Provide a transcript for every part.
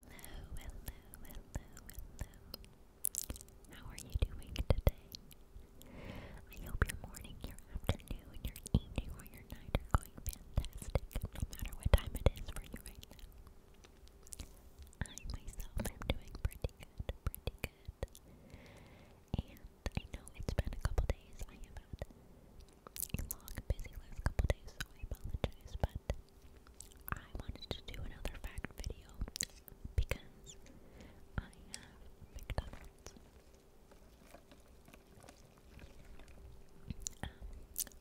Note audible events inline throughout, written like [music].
Hello, hello, hello, hello. How are you doing today? I hope your morning, your afternoon, your evening, or your night are going fantastic, no matter what time it is for you right now. I myself am doing pretty good, pretty good. And I know it's been a couple days. I have had a long, busy last couple days, so I apologize, but I wanted to do another fact video because I have McDonald's. Um,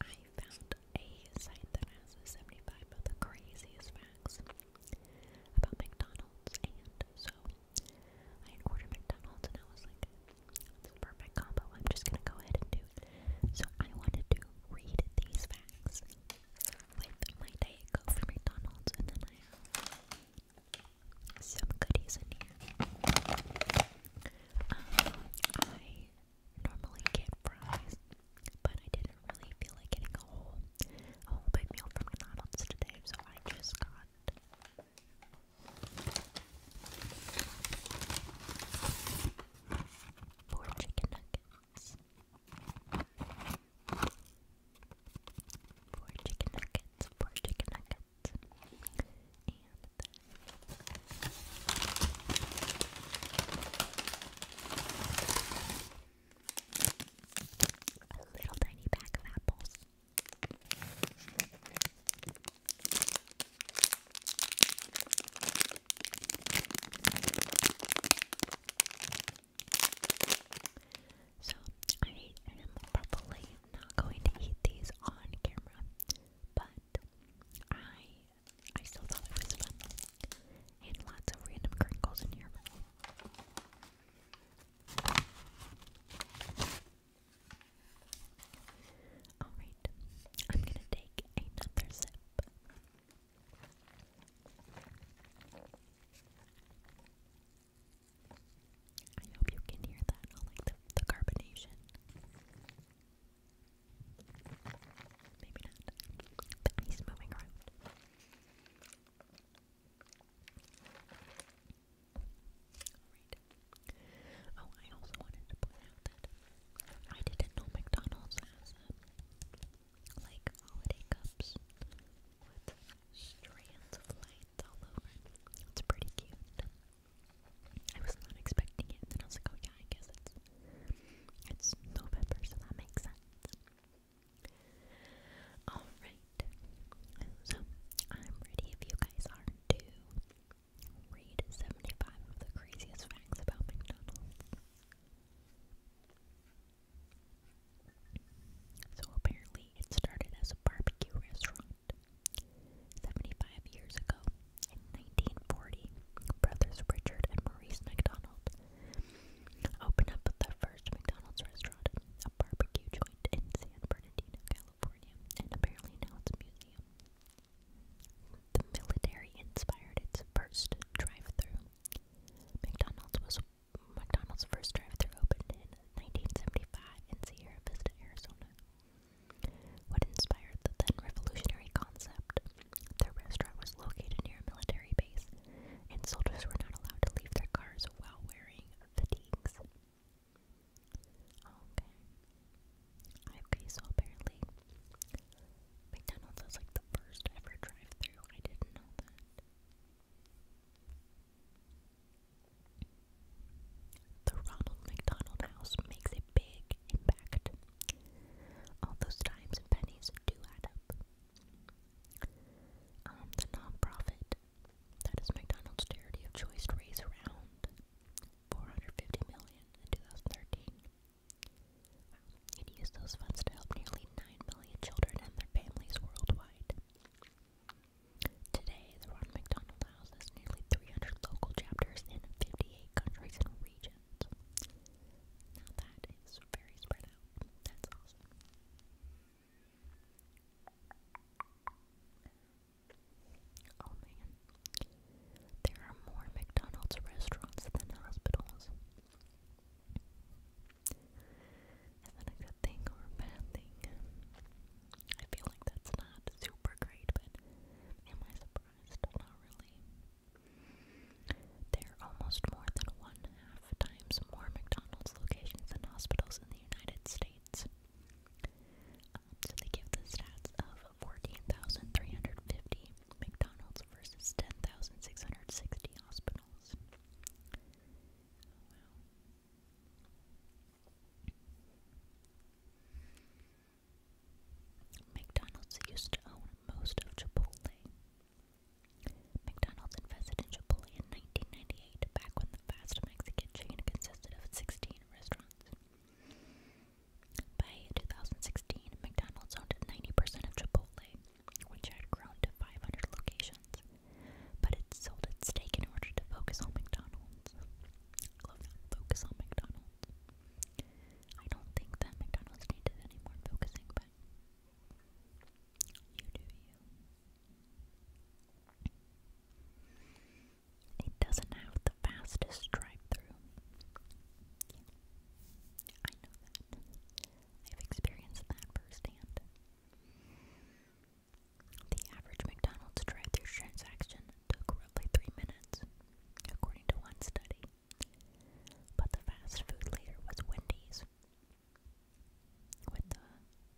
I found a site that has the 75 of craziest facts about McDonald's, and so I ordered McDonald's and I was like, it's a perfect combo, I'm just gonna go ahead and do it. So I wanted to read these facts snacks with my Diet Coke from McDonald's, and then I have some goodies in here. Um, I normally get fries, but I didn't really feel like getting a whole, whole big meal from McDonald's today, so I just got. Four chicken nuggets four chicken nuggets, four chicken nuggets and a little tiny bag of apples so, I am probably not going to eat these on camera, but I I still thought it was fun. And lots of random crinkles in here. Alright, I'm gonna take another sip. I hope you can hear that, not like the, carbonation. Maybe not. But he's moving around. Oh, I also wanted to point out that I didn't know McDonald's has um, like holiday cups with strands of light all over. It's pretty cute. I was not expecting it, and I was like, oh yeah, I guess it's it's November, so that makes sense. Alright. So I'm ready if you guys are to read 75 of the craziest facts about McDonald's. So apparently it started as a barbecue restaurant. 75 years ago, in 1940, brothers Richard and Maurice McDonald opened up the first McDonald's restaurant, a barbecue joint in San Bernardino, California, and apparently now it's a museum. The military inspired its first drive-through. McDonald's was McDonald's first drive-through opened in 1975 in Sierra Vista, Arizona. What inspired the then revolutionary concept? Their restaurant was located near a military base, and soldiers were not allowed to leave their cars while wearing fatigues. Okay. Okay, so apparently McDonald's is like the first ever drive through. I didn't know that. The Ronald McDonald House makes a big impact. All those dimes and pennies do add up. Um, the nonprofit that is McDonald's charity of choice raised around 450 million in 2013. It used those funds to help nearly 9 million children and their families worldwide. Today, the Ron McDonald House has nearly 300 local chapters in 58 countries and regions. that is very spread out. That's awesome. Oh man. There are more McDonald's restaurants than hospitals. And then a good thing or a bad thing. I feel like that's not super great, but am I surprised? Not really. There are almost more than one half times more McDonald's locations than hospitals in the United States. Um, so they give the stats of 14,350 McDonald's versus 10,660 hospitals. Oh, wow. McDonald's used to own most of Chipotle. McDonald's invested in Chipotle in 1998, back when the fast Mexican chain consisted of 16 restaurants. By 2016, McDonald's owned 90% of Chipotle, which had grown to 500 locations, but it sold its stake in order to focus on McDonald's. focus on McDonald's. I don't think that McDonald's needed any more focusing, but you do you. It doesn't have the fastest drive-through. I know that. I've experienced that firsthand. The average McDonald's drive through transaction took roughly three minutes, according to one study. But the fast food leader was Wendy's, with the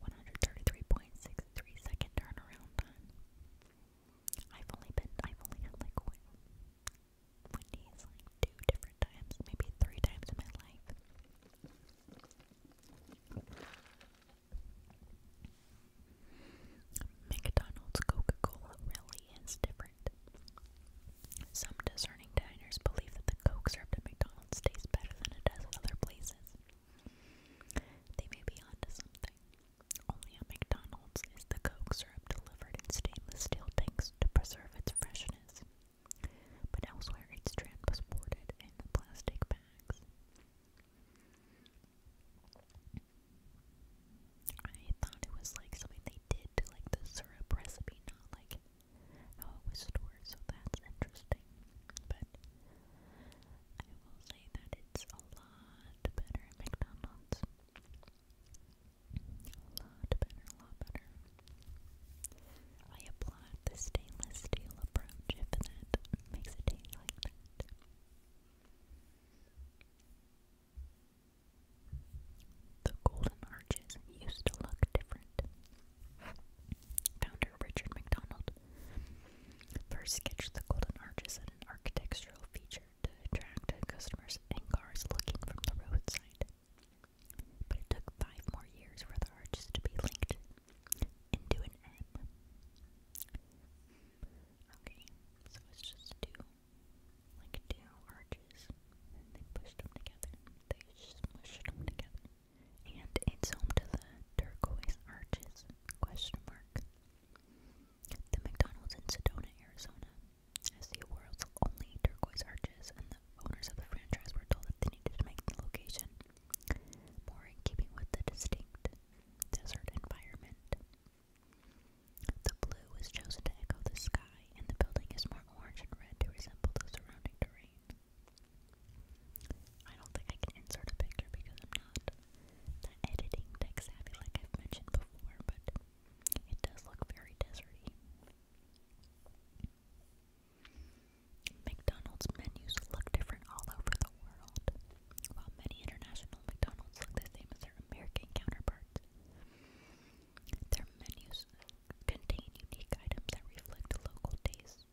133.63 second turnaround time. I've only been, I've only had like Wendy's like two different times, maybe three times in my life. McDonald's Coca Cola really is different. Some discerning diners believe that the Coke served at McDonald's tastes better than it does at other places. They may be onto something. Only at McDonald's is the Coke syrup delivered in stainless steel tanks to preserve its freshness business. But elsewhere, each strand was sorted in plastic bags. I thought it was like something they did to like the syrup recipe, not like how it was stored, so that's interesting. But I will say that it's a lot better at McDonald's. A lot better, a lot better. I applaud the stainless steel approach if that makes a taste like that. The golden arches used to look different. Founder Richard MacDonald first sketched the golden arches an architectural feature to attract customers and cars looking from the roadside. But it took five more years for the arches to be linked into an M. Okay, so it's just two, like two arches, and they pushed them together. They smushed them together, and it's home to the turquoise arches? Question mark. The McDonald's in Sedona, Arizona, as the world's only turquoise arches, and the owners of the franchise were told that they needed to make the location more in keeping with the distinct desert environment. The blue was chosen to echo the sky, and the building is more orange and red to resemble the surrounding terrain. I don't think I can insert a picture because I'm not that editing tech like I've mentioned before, but it does look very deserty. McDonald's menus look different all over the world. While many international McDonald's look the same as their American counterparts, their menus contain unique items that reflect local tastes.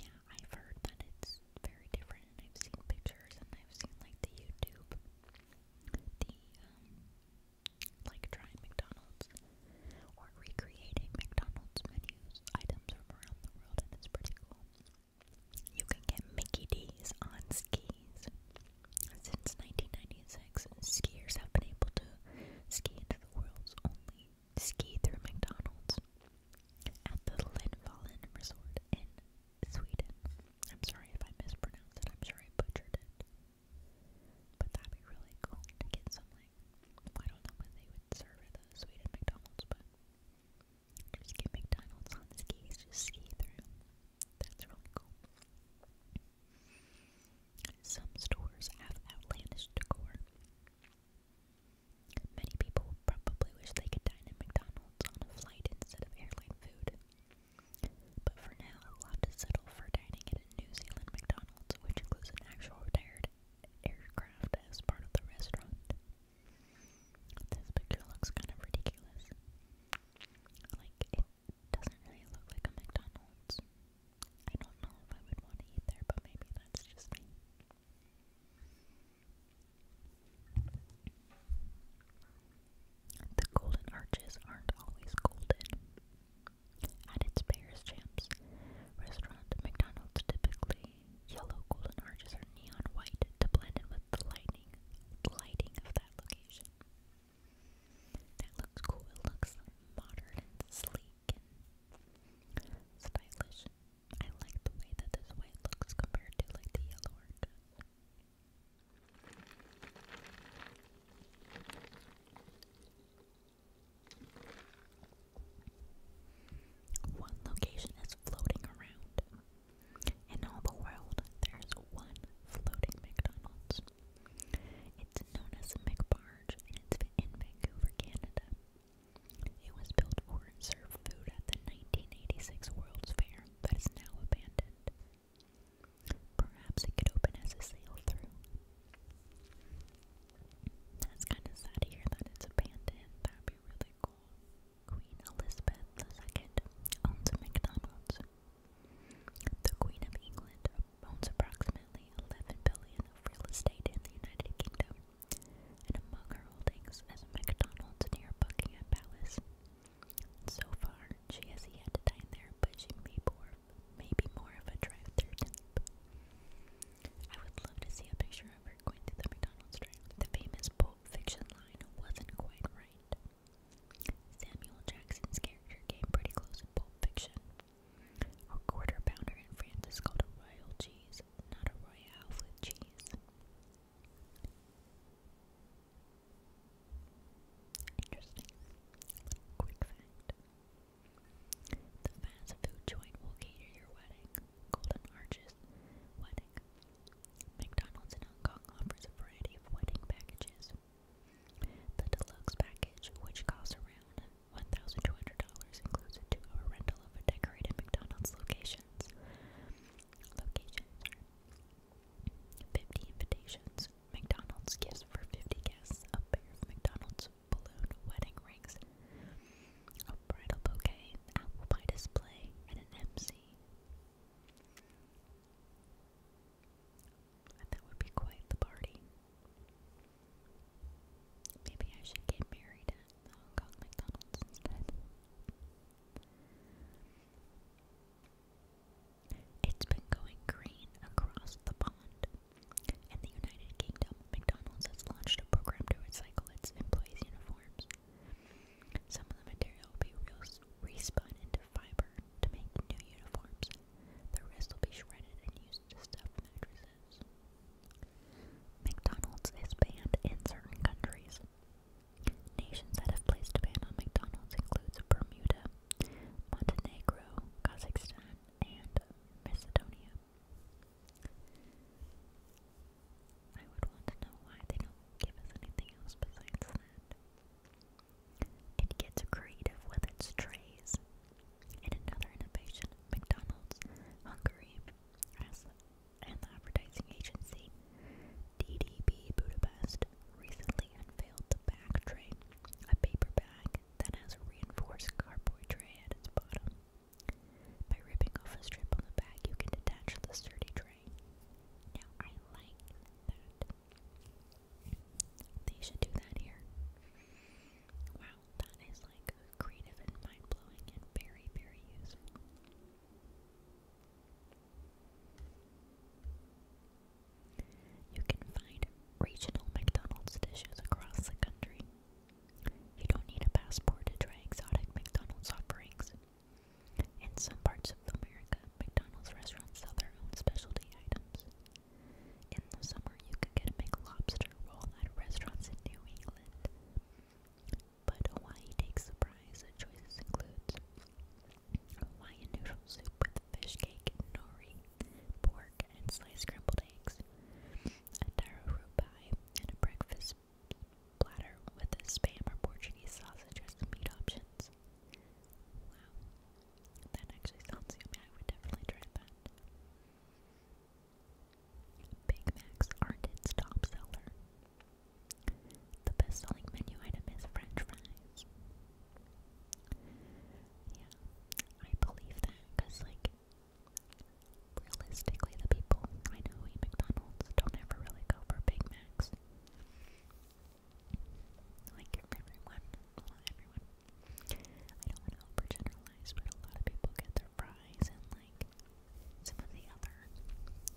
Yeah, I've heard that it's very different, and I've seen pictures, and I've seen like the YouTube, um, like trying McDonald's or recreating McDonald's menus, items from around the world, and it's pretty cool. You can get Mickey D's on skis. Since 1996, skiers have been able to ski into the world's only ski through McDonald's at the Lindvallen Resort in Sweden. I'm sorry if I mispronounced it, I'm sure I butchered it. But that'd be really cool to get some like I don't know when they would serve it sweet at McDonald's, but just get McDonald's on skis, just ski through. That's really cool. Some stores have outlandish decor. Many people probably wish they could dine at McDonald's on a flight instead of airline food. But for now, I'll have to settle for dining at a New Zealand McDonald's, which includes an actual retired aircraft as part of the restaurant. This picture looks kind of ridiculous. Like, it doesn't really look like a McDonald's. I don't know if I would want to eat there, but maybe that's just me. The golden arches aren't always golden. At its Bears Champs restaurant, McDonald's typically yellow golden arches are neon white to blend in with the lighting, lighting of that location. That looks cool. It looks modern and sleek and stylish. I like the way that this white looks compared to like the yellow arches. One location is floating around. In all the world, there's one floating McDonald's. It's known as McBarge and it's in Vancouver, Canada. It was built for and served food at the 1986 World's Fair, but is now abandoned. Perhaps it could open as a sail through. That's kind of sad to hear that it's abandoned. That'd be really cool. Queen Elizabeth II owns a McDonald's. The Queen of England owns approximately 11 billion of real estate in the United Kingdom, and among her holdings is a McDonald's near Buckingham Palace. So far, she has yet to dine there, but she may pour maybe more of a drive I would love to see a picture of her going to the McDonald's drive. The famous Pulp line wasn't quite right. Samuel Jackson's character came pretty close in Pulp A quarter pounder in France is called a royal cheese, not a royale with cheese. Interesting. quick fact. The fast food joint will cater your wedding. Golden Arches Wedding. McDonald's in Hong Kong offers a variety of wedding packages. The deluxe package, which costs around $1,200, includes a two hour rental of a decorated McDonald's locations. Locations 50 invitations, McDonald's gifts for 50 guests, a pair of McDonald's balloon wedding rings, a bridal bouquet, apple pie display, and an MC. that would be quite the party. Maybe I should get married at the McDonald's instead. It's been going green across the pond. In the United Kingdom, McDonald's has launched a program to recycle its employees' uniforms. Some of the material will be respun into fiber to make new uniforms. The rest will be shredded and used to stuff mattresses. McDonald's is banned in certain countries. Nations that have placed a ban on McDonald's includes Bermuda, Montenegro, Kazakhstan, and Macedonia. I would want to know why they don't give us anything else besides that. It gets creative with its trays. In another innovation, McDonald's Hungary and the advertising agency DDB Budapest recently unveiled the bag tray, a paper bag that has a reinforced cardboard tray at its bottom. By ripping off a strip on the back, you can detach the sturdy tray. Now, I like that. They should do that here. Wow, that is like creative and mind blowing and very, very useful. You can find regional McDonald's dishes across the country. You don't need a passport to try exotic McDonald's offerings. In some parts of America, McDonald's restaurants sell their own specialty items. In the summer, you can get a McLobster roll at restaurants in New England. But Hawaii takes the prize. choices include Hawaiian noodle soup with fish cake nori, pork, and sliced scrambled eggs, a taro root pie, and a breakfast platter with a spam or Portuguese sausage as the meat options. Wow. That actually sounds yummy. I would definitely try that. Big Macs aren't its top seller. The best selling menu item is French fries. Yeah, I believe that because, like, realistically, the people I know eat McDonald's don't ever really go for Big Macs. Like everyone, everyone. I don't want to overgeneralize, but a lot of people get their fries and like some of the other, other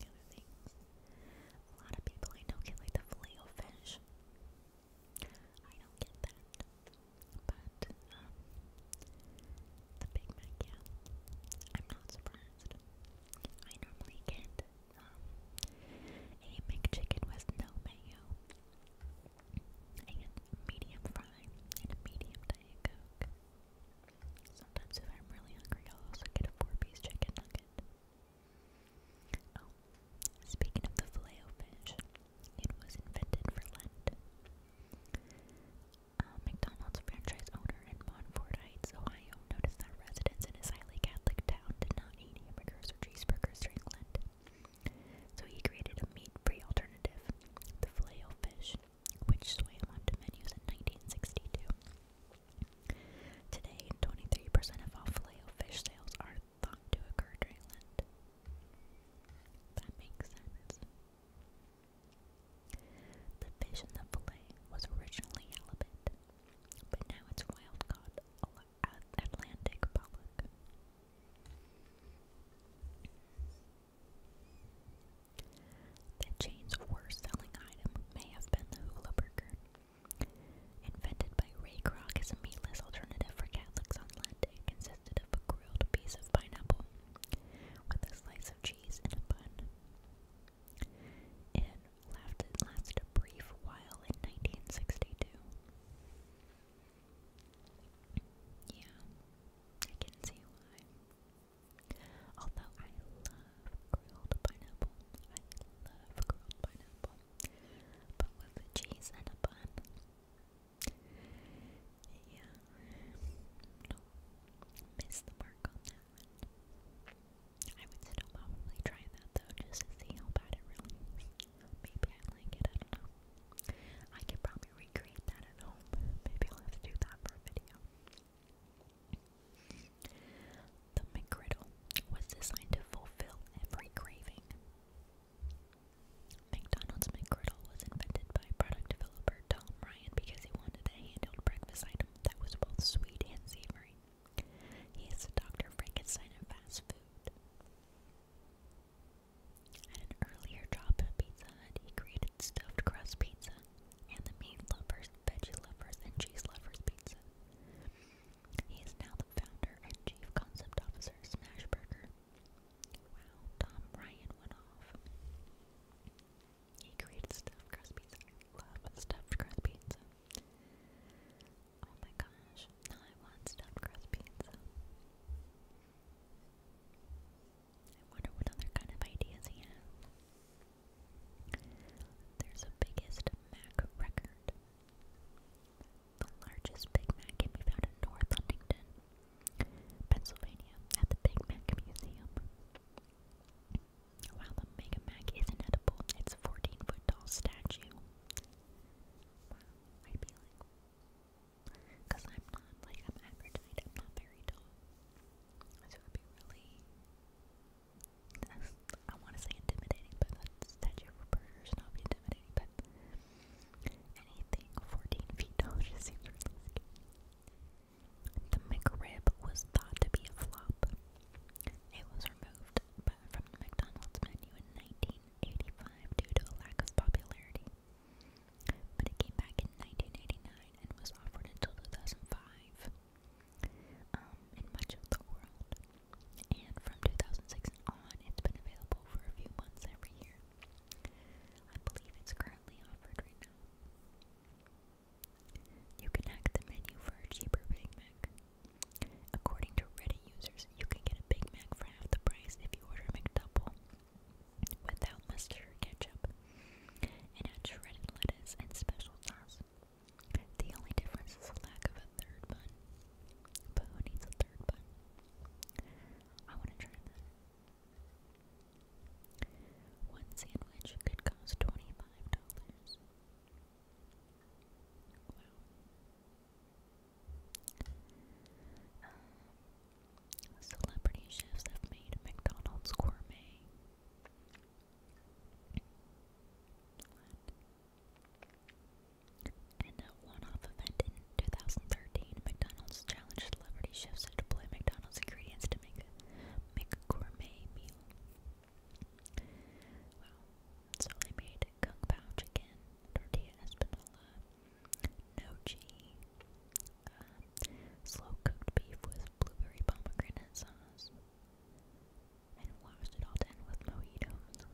things. A lot of people I know get like the filet fish. I don't get that. But, um, the Big Mac, yeah, I'm not surprised. I normally get, um, a McChicken with no mayo, and medium fry, and a medium Diet Coke. Sometimes if I'm really hungry, I'll also get a four-piece chicken nugget. Oh, speaking of the filet-o-fish, it was invented for Lent. Uh, McDonald's franchise owner in Montfort Heights, Ohio, noticed that residents in his highly Catholic town did not eat hamburgers or cheeseburgers during Lent. So he created a meat-free alternative, the filet fish, which swam onto menus in 1962. Today, 23% of all filet fish sales are thought to occur during Lent. That makes sense. The fish in the fillet was originally halibut, but now it's wild caught Atlantic pollock. The chain's worst selling item may have been the hula burger. Invented by Ray Kroc as a meatless alternative for Catholics on Lent, it consisted of a grilled piece of pineapple with a slice of cheese and a bun. It lasted, a brief while in 1962. Yeah, I can see why. Although I love grilled pineapple, I love grilled pineapple, but with cheese and a bun, yeah. No. the mark on that I would still try that though, just to see how bad it really is. Maybe I like it, I don't know. I could probably recreate that at home. Maybe I'll do that for a video. The McGriddle was designed to fulfill every craving. McDonald's McGriddle was invented by product developer Tom Ryan because he wanted a handheld breakfast item that was both sweet and savory. He is the Dr. Frankenstein of fast food. At an earlier job at Pizza he created stuffed crust pizza and the meat lovers, veggie lovers, and cheese lovers pizza. He is now the founder and chief concept officer of Smashburger. Wow, Tom Ryan went off. He created stuffed crust pizza. I love stuffed crust pizza. Oh my gosh, I want stuffed crust pizza. I wonder what other kind of ideas he has. There's a biggest Mac record. The largest Big Mac can be found in North Huntington, Pennsylvania, at the Big Mac Museum. While the Mega Mac is inedible, it's a 14 foot tall statue. Wow, I feel like. Because I'm not, like, I'm average height, I'm not very tall. So would be really. [laughs] I want to say intimidating, but that statue for burgers not intimidating, but Anything 14 feet tall just seems really scary. The McRib was thought to be a flop. It was removed but from the McDonald's menu in 1985 due to a lack of popularity. But it came back in 1989 and was offered until 2005 um, in much of the world. And from 2006 on, it's been available for a few months every year. I believe it's currently offered right now. You can hack the menu for a cheaper Big Mac. According to Reddit users, you can get a Big Mac for half the price if you order a McDouble without mustard or ketchup and add shredded lettuce and special sauce. The only difference is the lack of a third bun. But who needs a third bun? I want to try that. One sandwich could cost $25. Um, celebrity chefs have made McDonald's gourmet. In a one-off event in 2013, McDonald's challenged celebrity chefs to deploy McDonald's ingredients to make a, make gourmet meal. So they made kung pao chicken, tortilla espanola, nochi, uh, slow-cooked beef with blueberry pomegranate sauce, and washed it all down with mojitos,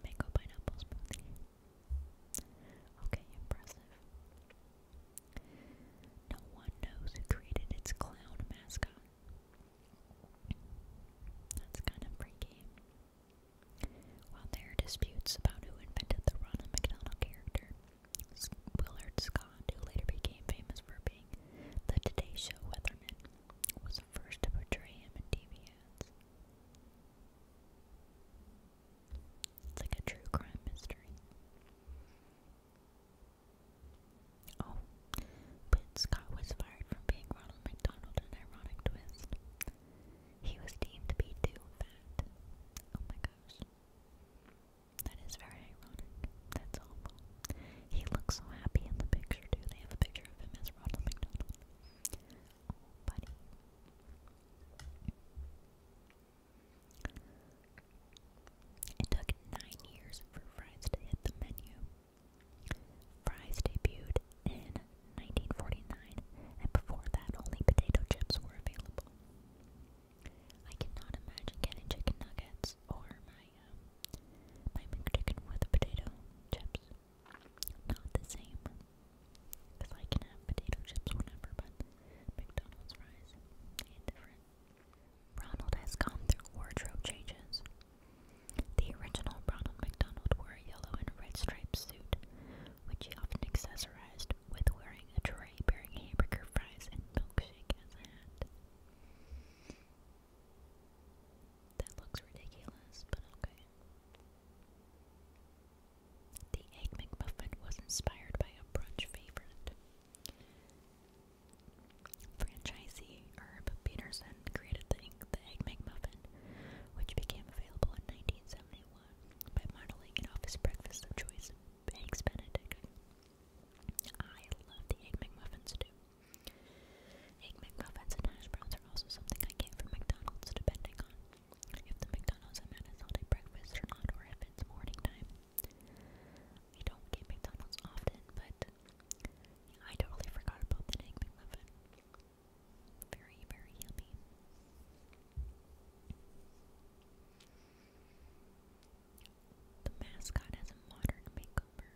mango pineapple smoothie. Okay, impressive. No one knows who created its clown mascot. That's kind of freaky. While there are disputes about who invented the Ronald McDonald character, Willard Scott, who later became famous for being the Today Show weatherman, was the first to portray him in TV ads. It's like a true crime mystery. Oh, but Scott was fired from being Ronald McDonald an ironic twist. He was deemed to be too fat. Oh my gosh. That is very ironic. That's awful. He looks so happy in the picture, too. They have a picture of him as Ronald McDonald. It took nine years for fries to hit the menu. Fries debuted in 1949, and before that, only potato chips were available. I cannot imagine getting chicken nuggets or my uh, my McChicken with potato chips not the same. Because I can have potato chips, whatever, but McDonald's fries ain't different. Ronald has gone through wardrobe changes. The original Ronald McDonald wore a yellow and red striped suit, which he often accessorized with wearing a tray bearing hamburger fries and milkshake as a hat. That looks ridiculous, but okay. The Egg McMuffin was inspired by a brunch favorite. Franchisee Herb Peterson created the, Egg McMuffin, which became available in 1971 by modeling an office breakfast of choice Eggs Benedict. I love the Egg McMuffins too. Egg McMuffins and hash browns are also something I get from McDonald's, depending on if the McDonald's I'm at breakfast or not, or if it's morning time. We don't get McDonald's often, but I totally forgot about the egg McMuffin. Very, very yummy. The mascot has a modern makeover,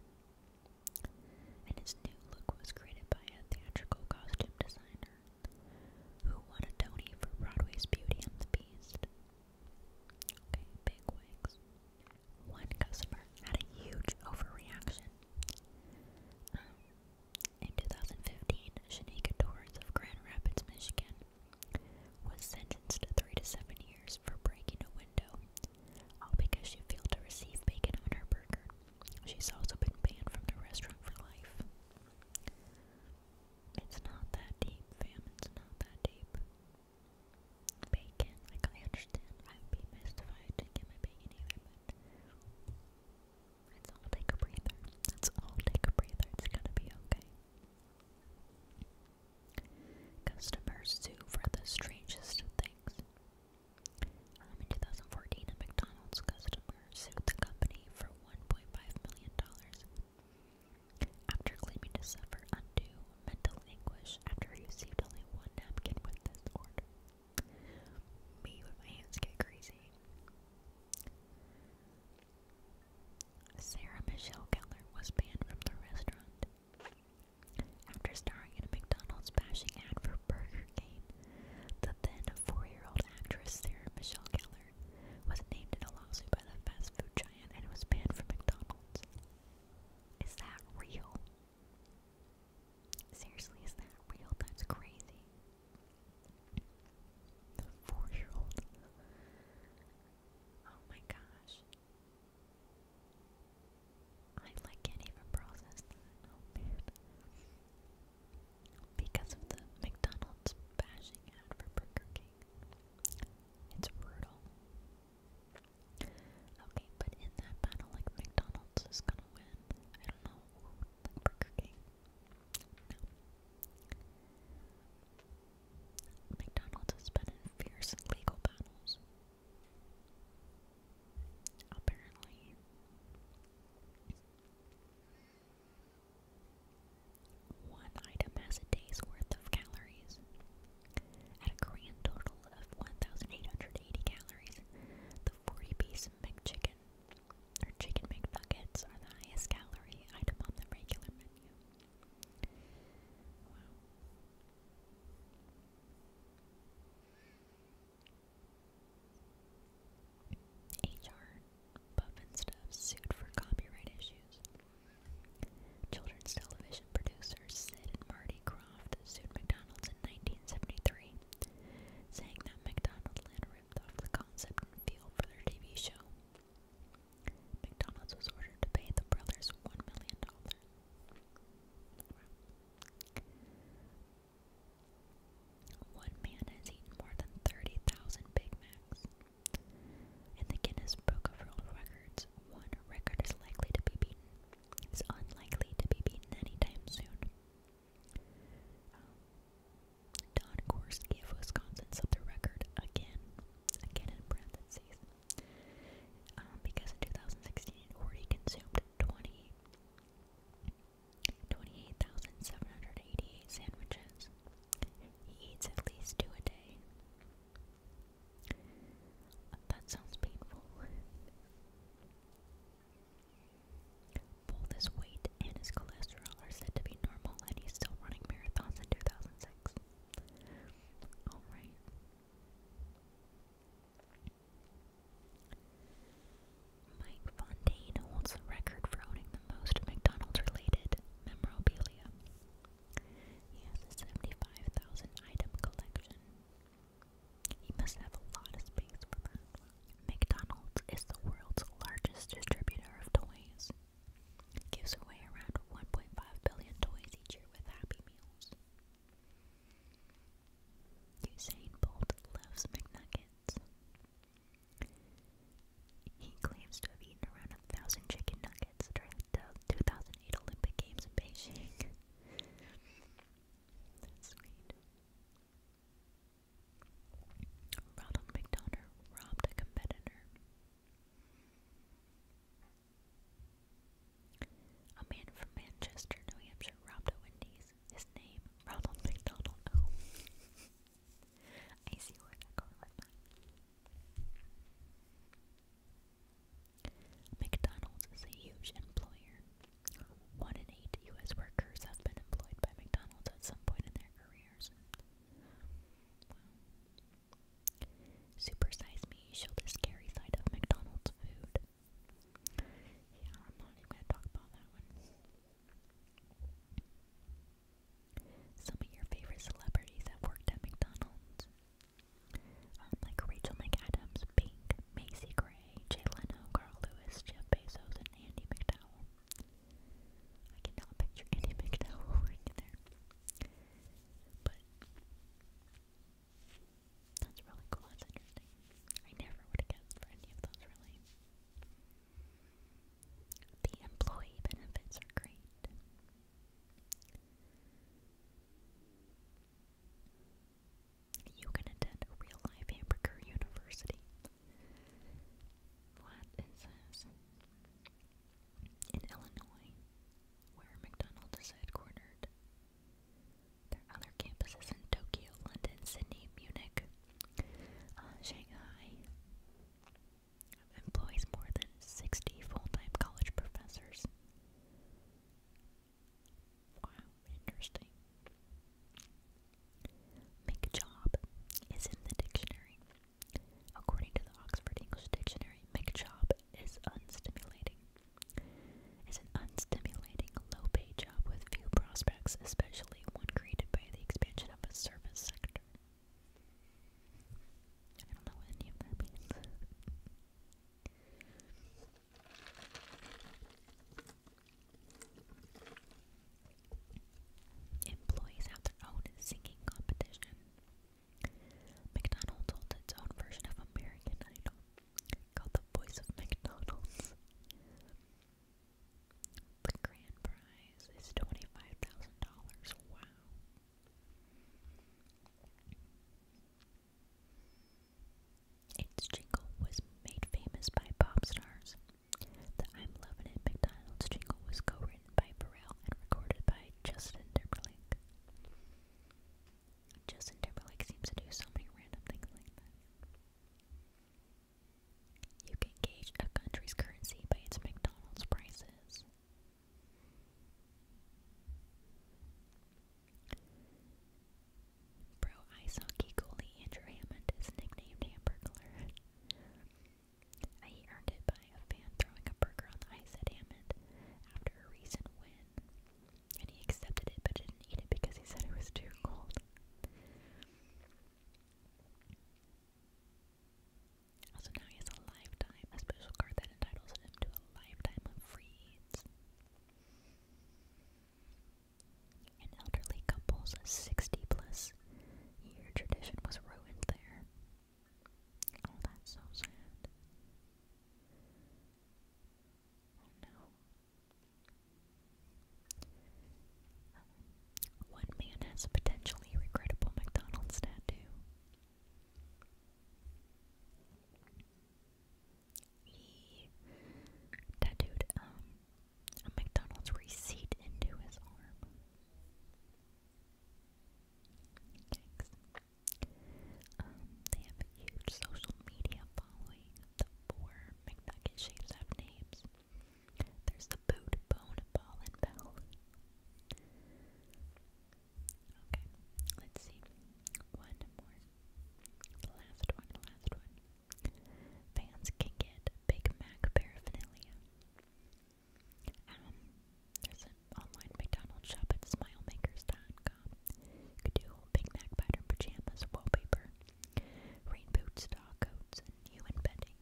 and his new look was created by a theatrical costume designer. Who won a Tony for Broadway's Beauty and the Beast? Okay, big wigs. One customer had a huge overreaction. Um, in 2015, Shanika Torres of Grand Rapids, Michigan, was sentenced to three to seven years for breaking a window, all because she failed to receive bacon on her burger. She's also been banned from the restaurant for life. It's not that deep, fam. It's not that deep. Bacon, like I understand. I would be missed if get my bacon either, but let all take a breather. let all take a breather. It's gonna be okay. Customers sue for the strangest things. in 2014, a McDonald's customer sued the company for $1.5 million after claiming to suffer undue mental anguish after he only one napkin with this order. Me when my hands get crazy. Sarah Michelle Keller was banned from the restaurant after starring in a McDonald's bashing ad for Burger King. The then four-year-old actress Sarah Michelle Keller Miller, was named in a lawsuit by the fast food giant and was banned from McDonald's. Is that real? Seriously, is that real? That's crazy. The four year old. Oh my gosh. I like can't even process that. Oh man because of the McDonald's bashing ad for Burger King. It's brutal. Okay, but in that battle, like, McDonald's is gonna win. I don't know, like, Burger King. McDonald's has been in fierce legal battles. Apparently. One item has a day's worth of calories. At a grand total of 1,880 calories, the 40-piece McChicken or Chicken McNuggets are the highest calorie item on the regular menu. Wow. HR Puff and Stuff sued for copyright issues. Children's television producers Sid and Marty Croft sued McDonald's in 1973, saying that McDonald's had ripped off the concept and feel for their TV show. McDonald's was ordered to pay the brothers $1 million. Wow. One man has eaten more than 30,000 Big Macs. In the Guinness Book of World Records, one record is likely to be beaten. It's unlikely to be beaten anytime soon. Um, Don Gorski of Wisconsin set the record again, again in parentheses, um, because in 2016 Horty consumed 20 28,788 sandwiches. He eats at least two a day. That sounds painful. Both his weight and his cholesterol are said to be normal, and he's still running marathons in 2006. Alright. Mike Fontaine holds the record for owning the most McDonald's related memorabilia. He has a 75,000 item collection. He must have a lot of space for that. McDonald's is the world's largest distributor of toys. gives away around 1.5 billion toys each year with Happy Meals. Usain Bolt loves McNuggets. He claims to have eaten around a thousand chicken nuggets during the 2008 Olympic Games in Beijing. sweet. Ronald McDonough robbed a competitor. A man from Manchester, New Hampshire robbed a Wendy's. His name, Ronald McDonald. I see where they're going with that. McDonald's is a huge employer. One in eight U.S. workers have been employed by McDonald's at some point in their careers. Wow. Supersize Me showed the scary side of McDonald's food. Yeah, I'm not even gonna talk about that one. Some of your favorite celebrities that worked at McDonald's. Um, like Rachel McAdams, Pink, Macy Gray, Jay Leno, Carl Lewis, Jeff Bezos, and Andy McDowell. I cannot picture Andy [laughs] McDowell working there. But that's really cool, that's interesting. I never would have guessed for any of those, really. The employee benefits are great. You can attend a real life hamburger university. What is this? In Illinois, where McDonald's is headquartered. Their other campuses in Tokyo, London, Sydney, Munich, uh, Shanghai, employs more than 60 full-time college professors. Wow, interesting. Make is in the dictionary. According to the Oxford English Dictionary, make is unstimulating. Is an unstimulating, low-paid job with few prospects, especially one created by the expansion of a service sector. I don't know what any of that means. Employees have their own singing competition. McDonald's holds its own version of American Idol called The Voice of McDonald's. The grand prize is $25,000. Wow. Its jingle was made famous by pop stars. The I'm Lovin' It McDonald's jingle was co-written by Burrell and recorded by Justin Timberlake. Justin Timberlake seems to do so many random things like you can gauge a country's currency by its McDonald's prices. Pro ice hockey goalie Andrew Hammond is nicknamed Hamburglar. He earned it by a fan throwing a burger on the ice at Hammond after a recent win. And he accepted it but didn't eat it because he said it was too cold. So now he has a lifetime, a special card that entitles him to a lifetime of freeze. An elderly couple's 60 plus year tradition was ruined there. Oh, that's so sad. Oh no. One man has a potentially regrettable McDonald's tattoo. He tattooed um, a McDonald's receipt into his arm. Um, they have a huge social media following. The four McNugget shapes names. There's the boot, bone, ball, and bell. Okay, let's see. One more. The last one, the last one. Fans can get Big Mac paraphernalia. Um, there's an online McDonald's shop at smilemakers.com. You could do Big Mac pattern pajamas, wallpaper, rain boots, dog coats, and human bedding.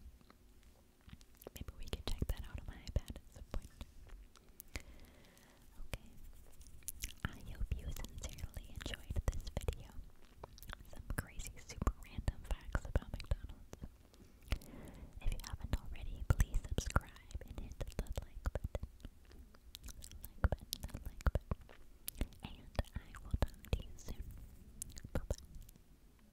Maybe we could check that out on my iPad at some point. Okay. I hope you sincerely enjoyed this video. Some crazy, super random facts about McDonald's. If you haven't already, please subscribe and hit the like button. like button, like button. And I will talk to you soon. Bye bye.